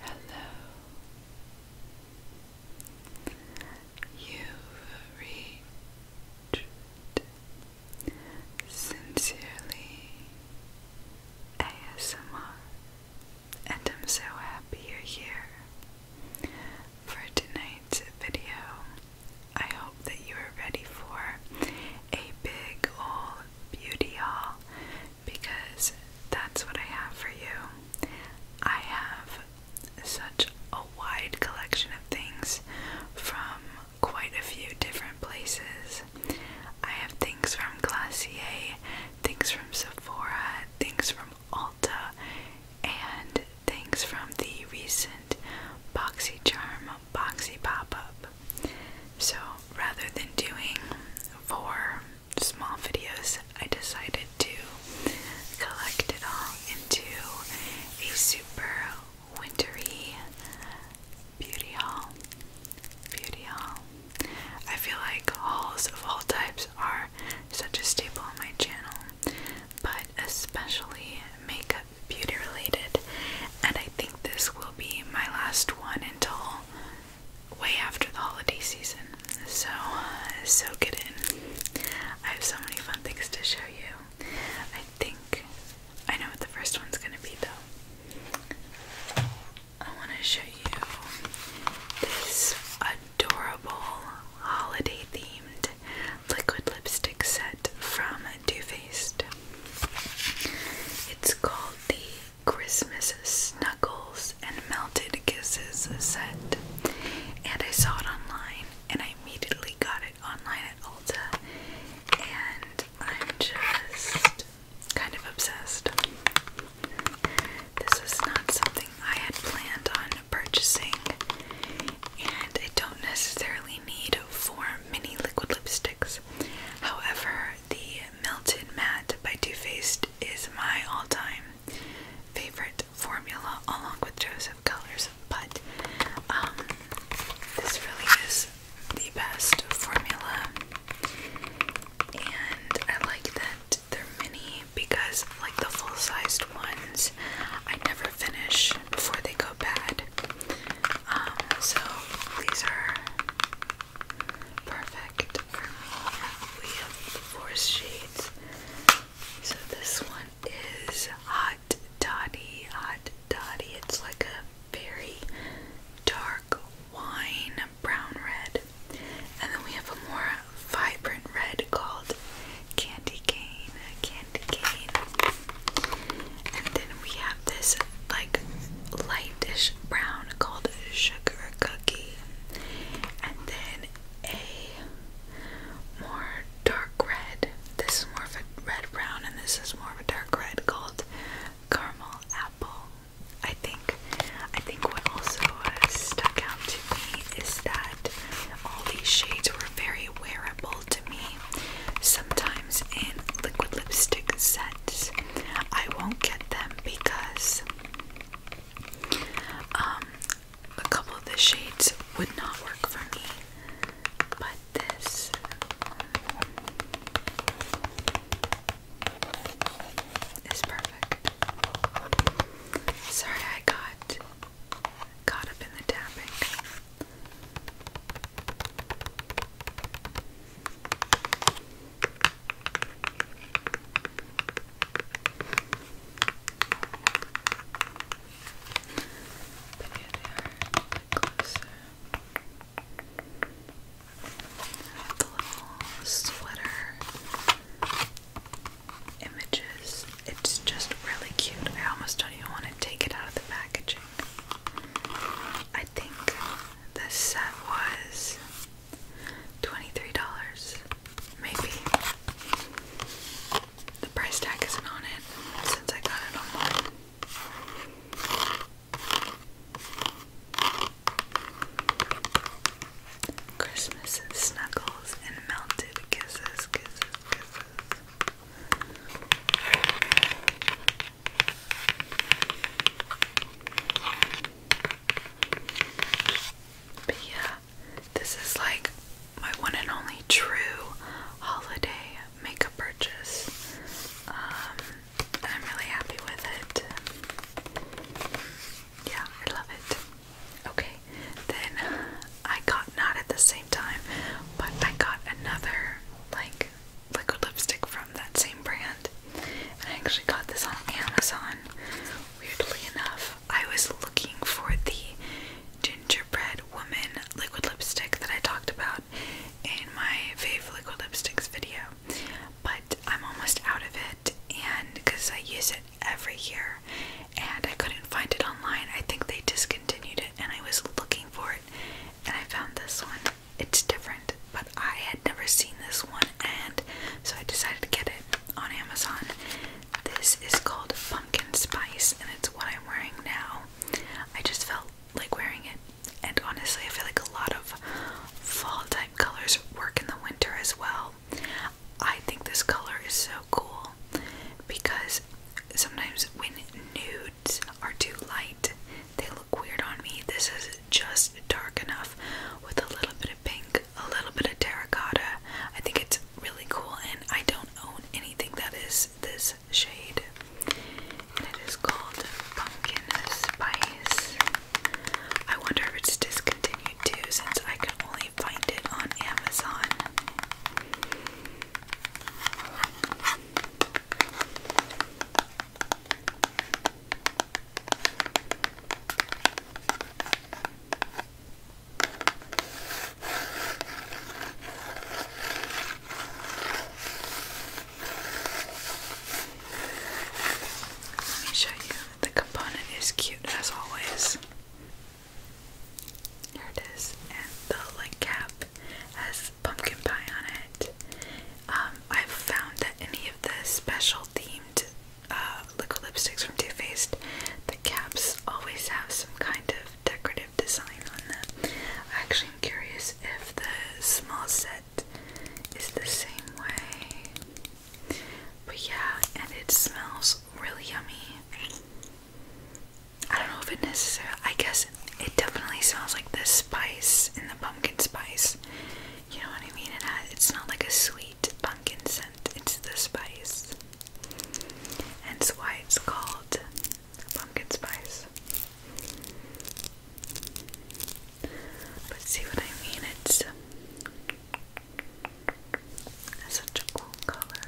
Hello. You've reached Sincerely ASMR, and I'm so happy you're here. For tonight's video, I hope that you are ready for a big ol' beauty haul because that's what I have for you. I have such a wide collection of things from quite a few different places. I have things from Glacier, things from Sephora, things from Alta, and things from the recent BoxyCharm boxy pop-up. So rather than doing four small videos, I decided to collect it all into a super wintery beauty hall. Beauty hall. I feel like halls of all types are such a staple on my channel, but especially makeup beauty related, and I think this will be my last one until way after the holiday season. So, uh, so get in. I have so many fun things to show you. I think I know what the first one's gonna be though. I want to show you this adorable holiday themed liquid lipstick set from Too Faced. It's called the Christmas Snuggles and Melted Kisses set, and I saw it online, and I immediately got it online at Ulta, and I'm just kind of obsessed. This is not something I had planned on purchasing, and I don't necessarily need four mini liquid lipsticks. However, the Melted Matte by Too Faced is my all-time favorite formula, along with Joseph Colors. But um, this really is the best formula, and I like that they're mini because, like the full-sized ones, I never finish before they go bad. Um, so these are perfect for me. four shades. So this one is Hot Toddy. Hot Toddy. It's like a very dark wine brown red. And then we have a more vibrant red called Candy Cane. Candy Cane. And then we have this like lightish brown called sugar cookie. And then a more dark red. This is more of a red brown and this is more of a dark red called caramel apple. I think I think what also uh, stuck out to me is that all these shades were very wearable to me sometimes in liquid lipstick sets. I won't get them because um, a couple of the shades would not work for me, but this. Is perfect. Sorry, I got caught up in the tapping little sweater images. It's just really cute. I almost don't even want to take it out of the packaging. I think this set was $23, maybe. The price tag isn't on it since I got it online. Christmas snuggles and melted kisses, kisses, kisses. But yeah, this is like my one and only true holiday makeup purchase. Um, I'm really happy with it. Yeah, I love it. Okay, then I got not at the same time, but I got another like liquid lipstick from that same brand. And I actually got this on Amazon. Weirdly enough, I was looking for the gingerbread woman liquid lipstick that I talked about in my fave liquid lipsticks video. But I'm almost out of it and because I use it every year and I couldn't find it online. I think they discontinued it and I was looking for it and I found this one. It's different, but I had never seen this one, and so I decided to get it on Amazon. This is called Pumpkin Spice, and it's what I'm wearing now. I just felt like wearing it, and honestly, I feel like a lot of fall type colors work in the winter as well. I think this color is so cool because sometimes when nudes are too light, they look weird on me. This is just dark enough with a little bit of pink, a little bit of terracotta. I think it's really cool, and I don't own anything that is this shade. it is called Pumpkin Spice. I wonder if it's discontinued too, since I can only find it on Amazon. Let me show you. The component is cute as always. Here it is, and the link cap has pumpkin pie on it. Um, I've found that any of the special themed uh, liquid lipsticks from Too Faced, the caps always have some kind of decorative design on them. Actually, I'm curious if the small set is the same way. But yeah, and it smells really yummy. I don't know if it necessarily, I guess it definitely smells like the spice in the pumpkin spice. You know what I mean? it's not like a sweet pumpkin scent, it's the spice. Hence why it's called pumpkin spice. But see what I mean? it's such a cool color.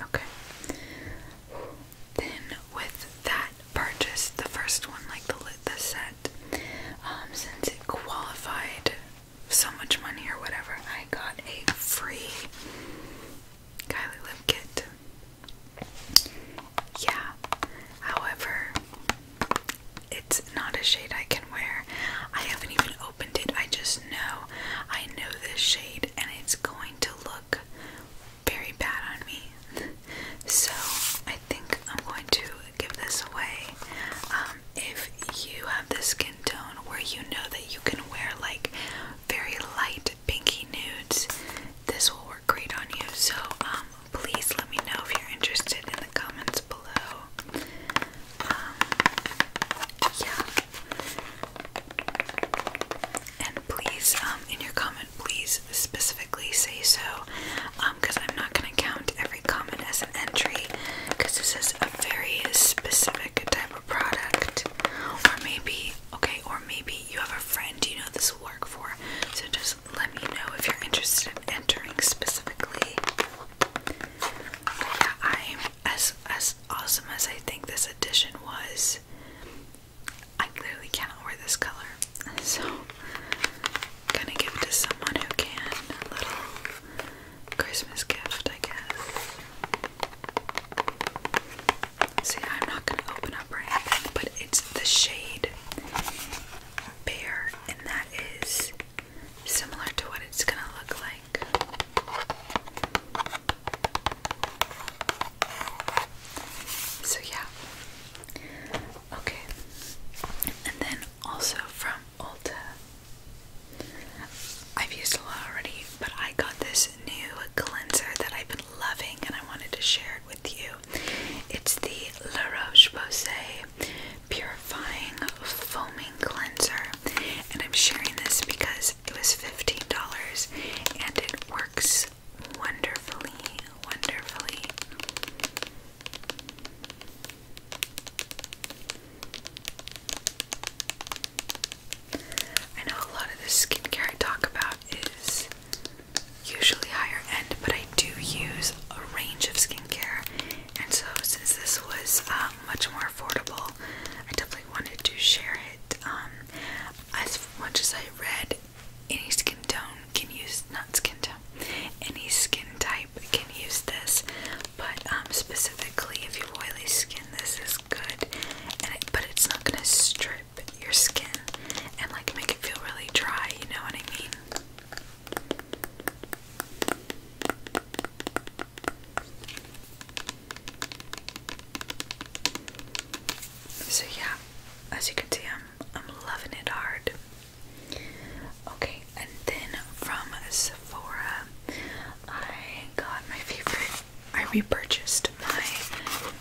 Okay. Then, with that Purchased the first one, like the the set, um, since it qualified so much money or whatever. I got a free Kylie lip kit. Yeah. However, it's not a shade I can wear. I haven't even opened it. I just know I know this shade, and it's going to look very bad on me. So I think I'm going to give this away. Um, if you have the skin tone where you know that you can wear like very light pinky nudes, this will work great on you. So um, please let me know if you're interested in the comments below. Um, yeah. And please, in your comment, please specifically say so, because um, I'm not going to count every comment as an entry, because this is a very specific type of product. Or maybe, okay, or maybe you have a friend you know this will work for, so just let me know if you're interested in entering specifically. Yeah, I'm as as awesome as I think this edition was. I clearly cannot wear this color, so gonna give it to someone who can. A little Christmas gift, I guess. See, I'm not gonna open up or anything, but it's the shade Bear, and that is similar to what it's gonna look like. So, yeah, Okay, and then also from Ulta. I've used a lot already, but I got this new cleanser that I've been loving and I wanted to share it with you. It's the La Roche Posay Purifying Foaming Cleanser, and I'm sharing this because it was $15 and it works wonderfully, wonderfully. I know a lot of the skincare I talk about is usually higher end, but I do use a range of skincare, and so since this was um, much more affordable, I definitely wanted to share it. Um, as much as I read any skin tone can use not skin tone. Any skin type can use this, but um, specifically if you have oily skin, this is good. but it's not gonna strip your skin and like make it feel really dry. You know what I mean? So yeah, as you can see, I'm I'm loving it hard. Okay, and then from Sephora, I got my favorite. I repurchased my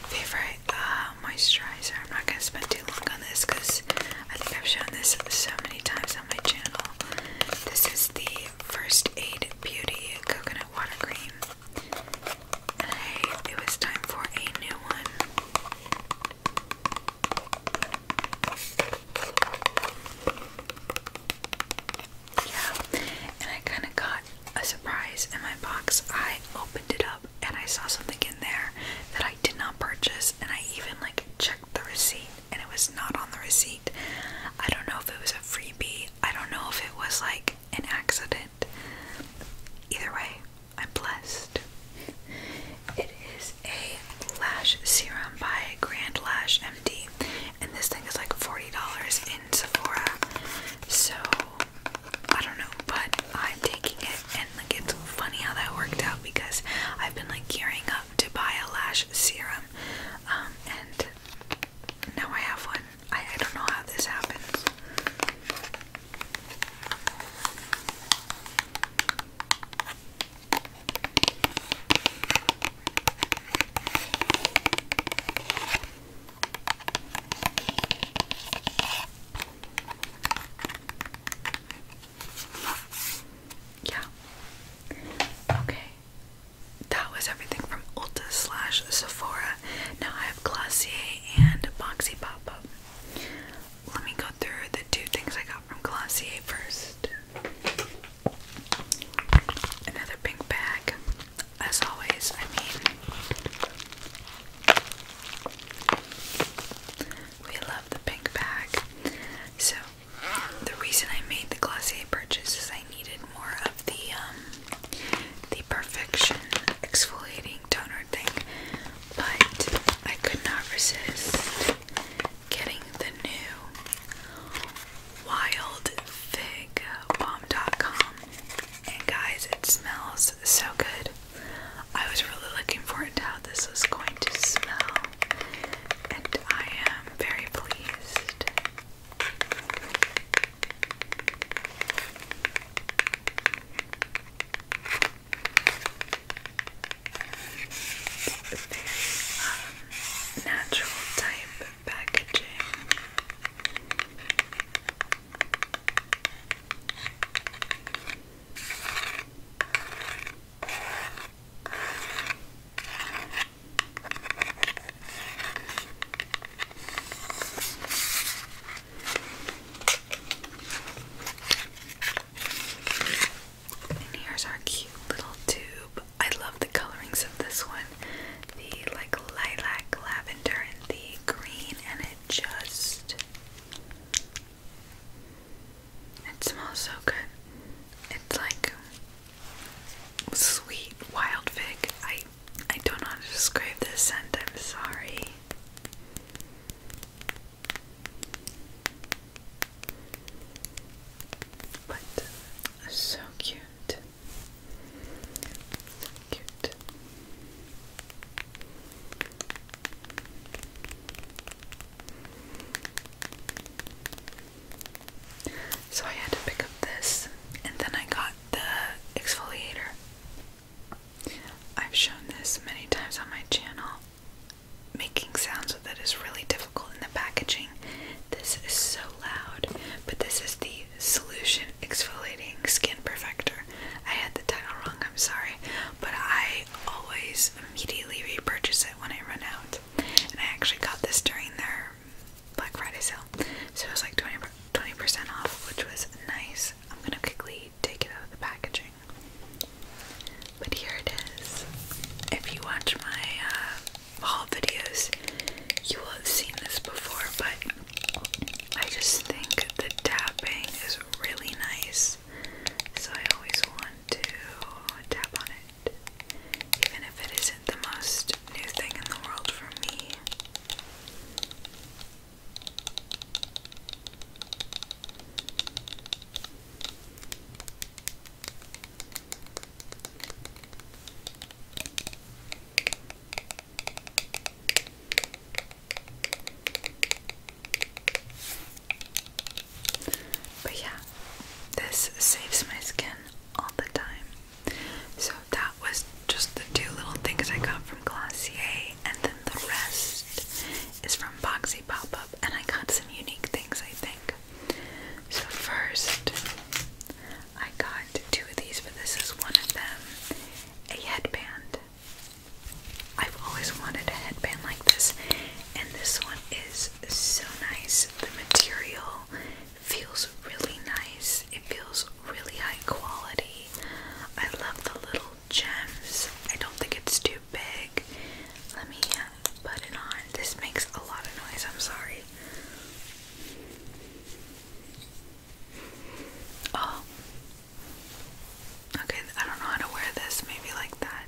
favorite uh, moisturizer. I'm not gonna spend too long on this because I think I've shown this so many times on my channel. This is the First Aid Beauty Coconut Water Cream. And I, it was time for a new one. Yeah, and I kind of got a surprise in my box. I opened it up and I saw something in there that I did not purchase, and I even like checked the receipt and it was not on the receipt. I don't know if it was a freebie, I don't know if it was like an accident. Either way, I'm blessed. It is a lash serum by Grand Lash MD, and this thing is like $40 in Sephora. So I don't know, but I'm taking it, and like it's funny how that worked out because I've been like gearing up to buy a lash serum, um, and now I have one. I, I don't know how this happens. Yeah. Okay. That was everything from Ulta slash Sephora. Now I have Glossier and Boxy Pop Up let me go through the two things I got from Glossier first. Another pink bag, as always. I mean, we love the pink bag. So, the reason I made the Glossier purchase is I needed more of the um, the Perfection exfoliating toner but I could not resist getting the new Wild Fig Bomb.com. And guys, it smells so good. I was really looking forward to how this was going to smell, and I am very pleased. Very um, natural type packaging. And here's our cute little tube. I love the colorings of this one. The like lilac, lavender, and the green, and it just it smells so good. It's like sweet wild fig. I I don't describe this scent, I'm sorry. But uh, so cute. cute. So I had to pick up this and then I got the exfoliator. I've shown this many times on my channel. Making sounds with it is really difficult in the packaging. This is so loud, but this is the Solution Exfoliating Skin Perfector. I had the title wrong, I'm sorry, but I always immediately repurchase it when I run out. And I actually got this during their Black Friday sale, so it was like 20% off, which was nice. I'm gonna quickly take it out of the packaging. But here it is. If you watch my uh, haul videos, you will have seen this before, but I just think the tapping is really nice. So I always want to tap on it. Even if it isn't the most new thing in the world for me. But yeah, this saves my skin all the time. So that was just the two little things I got from Glossier and then the rest is from Boxy Pop Up, and I got some unique things, I think. So, first, I got two of these, but this is one of them a headband. I've always wanted a headband like this, and this one is so nice. The material feels really nice, it feels really high quality. I love the little gems. I don't think it's too big. Let me uh, put it on. This makes a lot of noise. I'm sorry. Oh. Okay, I don't know how to wear this. Maybe like that.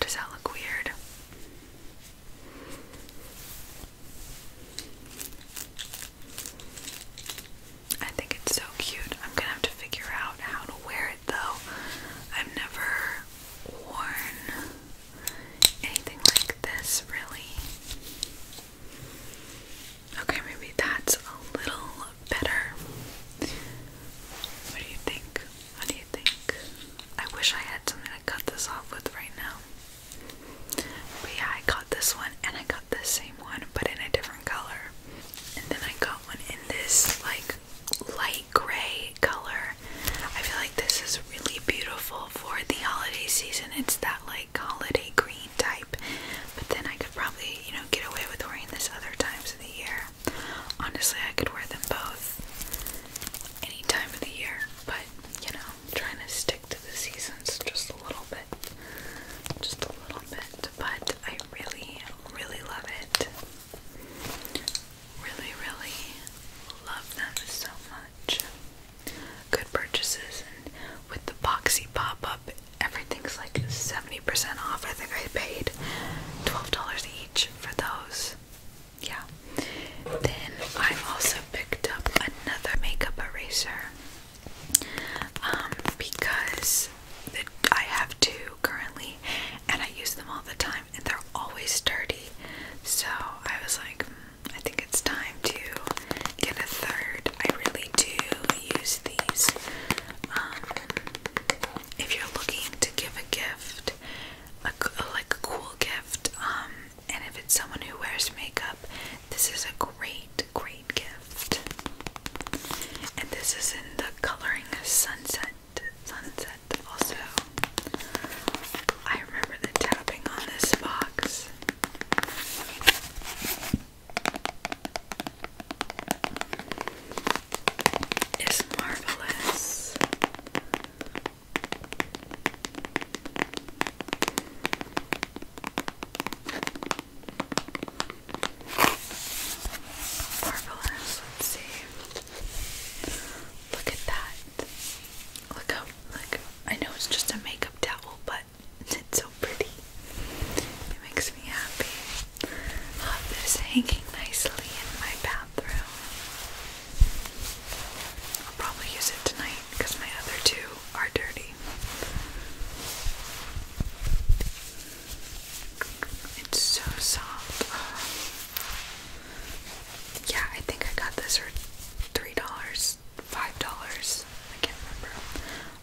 does that look weird? I think it's so cute. I'm gonna have to figure out how to wear it though. I've never worn anything like this really. Okay, maybe that's a little better. What do you think? What do you think? I wish I had something to cut this off with right now. But yeah, I got this one and I got the same one but in a different color. And then I got one in this like light gray color. I feel like this is really beautiful for the holiday season. It's that like holiday green type. But then I could probably, you know, get away with wearing this other times of the year. Honestly, I could wear them both any time of the year, but you know, trying to stick to the seasons just a little bit. Just a little bit but I really, really love it. Really, really love them so much. Good purchases, with the boxy pop up, everything's like 70% off. I think I paid $12 each for those. Yeah. Then I also picked up another makeup eraser. Um, because I have two currently, and I use them all the time, and they're always dirty. So I was like, hmm, I think it's time to get a third. I really do use these. Um, if you're looking to give a gift, a, like a cool gift, um, and if it's someone who wears makeup, this is a great great gift. And this is in the coloring sunset. Sunset also. I remember the tapping on this box. It's marvelous. Marvelous. Let's see. Look at that. Look how, like, I know it's just a makeup towel, but it's so pretty. It makes me happy. love this hanging nicely in my bathroom. I'll probably use it tonight because my other two are dirty. It's so soft. Uh, yeah, I think I got this for three dollars, five dollars. I can't remember.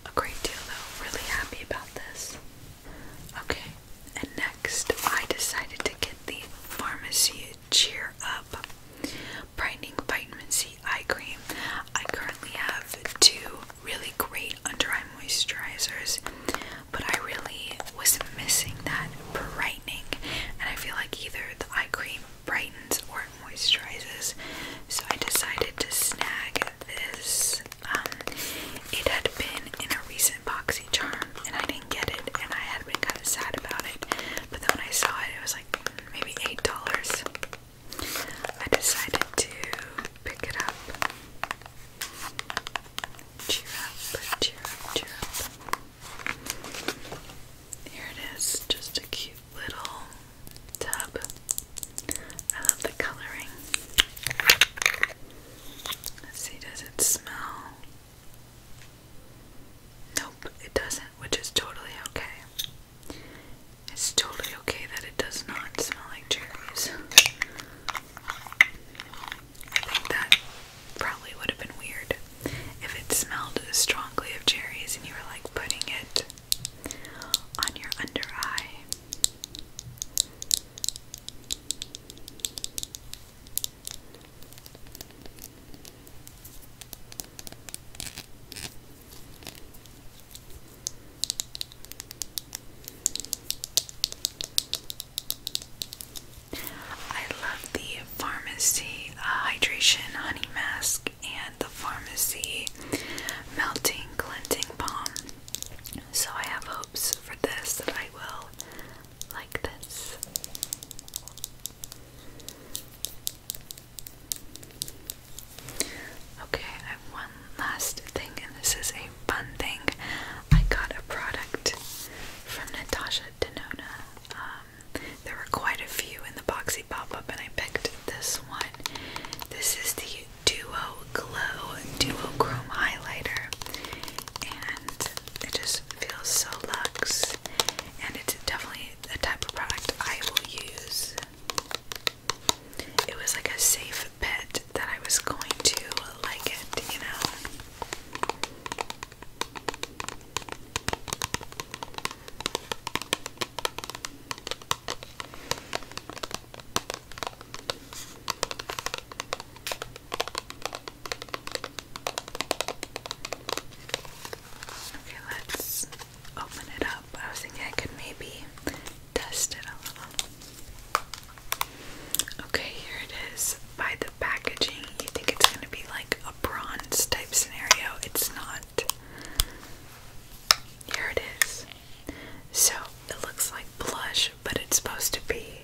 A great deal though. Really happy about this. Okay, and next I decided to get the Pharmacy Cheer Up Brightening Vitamin C Eye Cream. I currently have two really great under eye moisturizers, but I really was missing that brightening, and I feel like either the eye cream brightens or moisturizes. So I decided to snag this. Um, it had been in a recent boxy charm, and I didn't get it, and I had been kind of sad about it. But then when I saw it, it was like maybe eight dollars. I decided to pick it up. Cheer up, cheer up, cheer up. Here it is, just a cute little tub. I love the coloring. Let's see, does it smell? Nope, it doesn't, which is totally okay. It's totally okay that it does not smell like cherries. I think that probably would have been weird if it smelled strongly of cherries and you were like putting it on your under eye. I love the pharmacy uh, hydration honey mask and the pharmacy melting cleansing balm. So I have hopes for this that I will like this. Okay, I have one last thing, and this is a fun thing. I got a product from Natasha Denona. Um, there were quite a few in the boxy pop up, and I picked this one. This is the Duo Glow Duo Chrome Highlighter, and it just feels so luxe. And it's definitely a type of product I will use it was like a safe bet that I was going to like it, you know. Okay, let's open it up. I was thinking I could maybe dust it a little. Okay, here it is. By the packaging, you think it's going to be like a bronze type scenario. It's not. Here it is. So it looks like blush, but it's supposed to be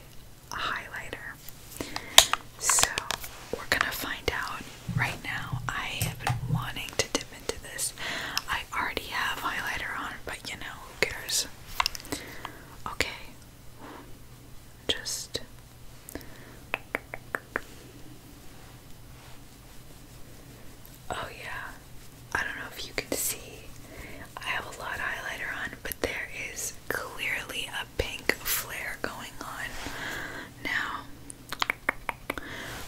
a highlighter. So we're gonna find out right now. I have been wanting to dip into this. I already have highlighter on, but you know, who cares? Okay. Just Oh yeah. I don't know if you can see. I have a lot highlighter on, but there is clearly a pink flare going on now.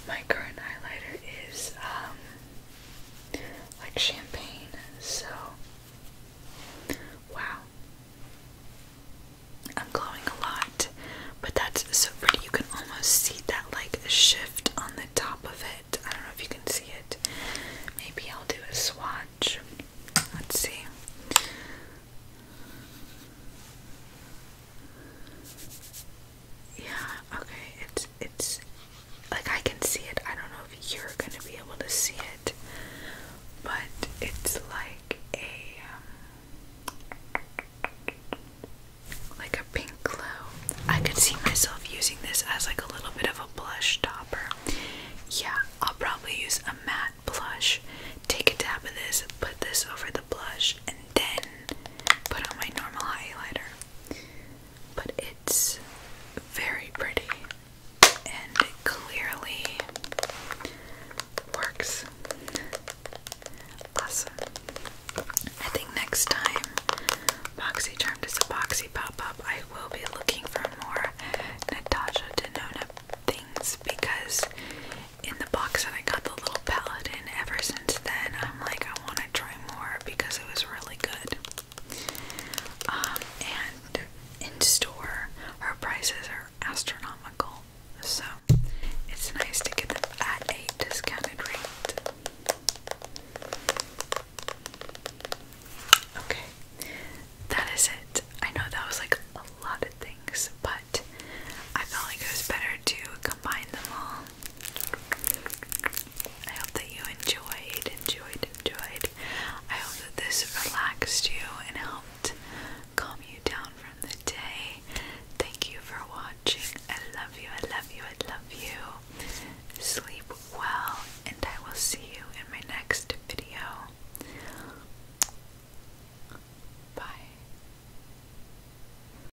My current highlighter is um like champagne, so wow. I'm glowing a lot, but that's so pretty. You can almost see that like shift on the top of it. I don't know if you can see it. Maybe I'll do a swatch. Let's see. Yeah, okay. It's it's like I can see it. I don't know if you're gonna be able to see it, but it's like a um, like a pink glow. I could see myself using this as like a little bit of a blush topper. Yeah, I'll probably use a matte blush. Take a dab of this, put this over the blush, and then put on my normal highlighter. But it's very pretty and it clearly works. Awesome. I think next time BoxyCharm does a boxy pop up, I will be looking for more Natasha Denona things because in the box that I got the little palette in, ever since then, I'm like, I want to try more because it was really good. Um, and in store, our prices are astronomical, so it's nice to get them at a discounted rate. Okay, that is it. I know that was like a lot of things, but I felt like it was better to combine them all I hope that you enjoyed, enjoyed, enjoyed. I hope that this relaxed you and helped calm you down from the day. Thank you for watching. I love you, I love you, I love you. Sleep well, and I will see you in my next video. Bye.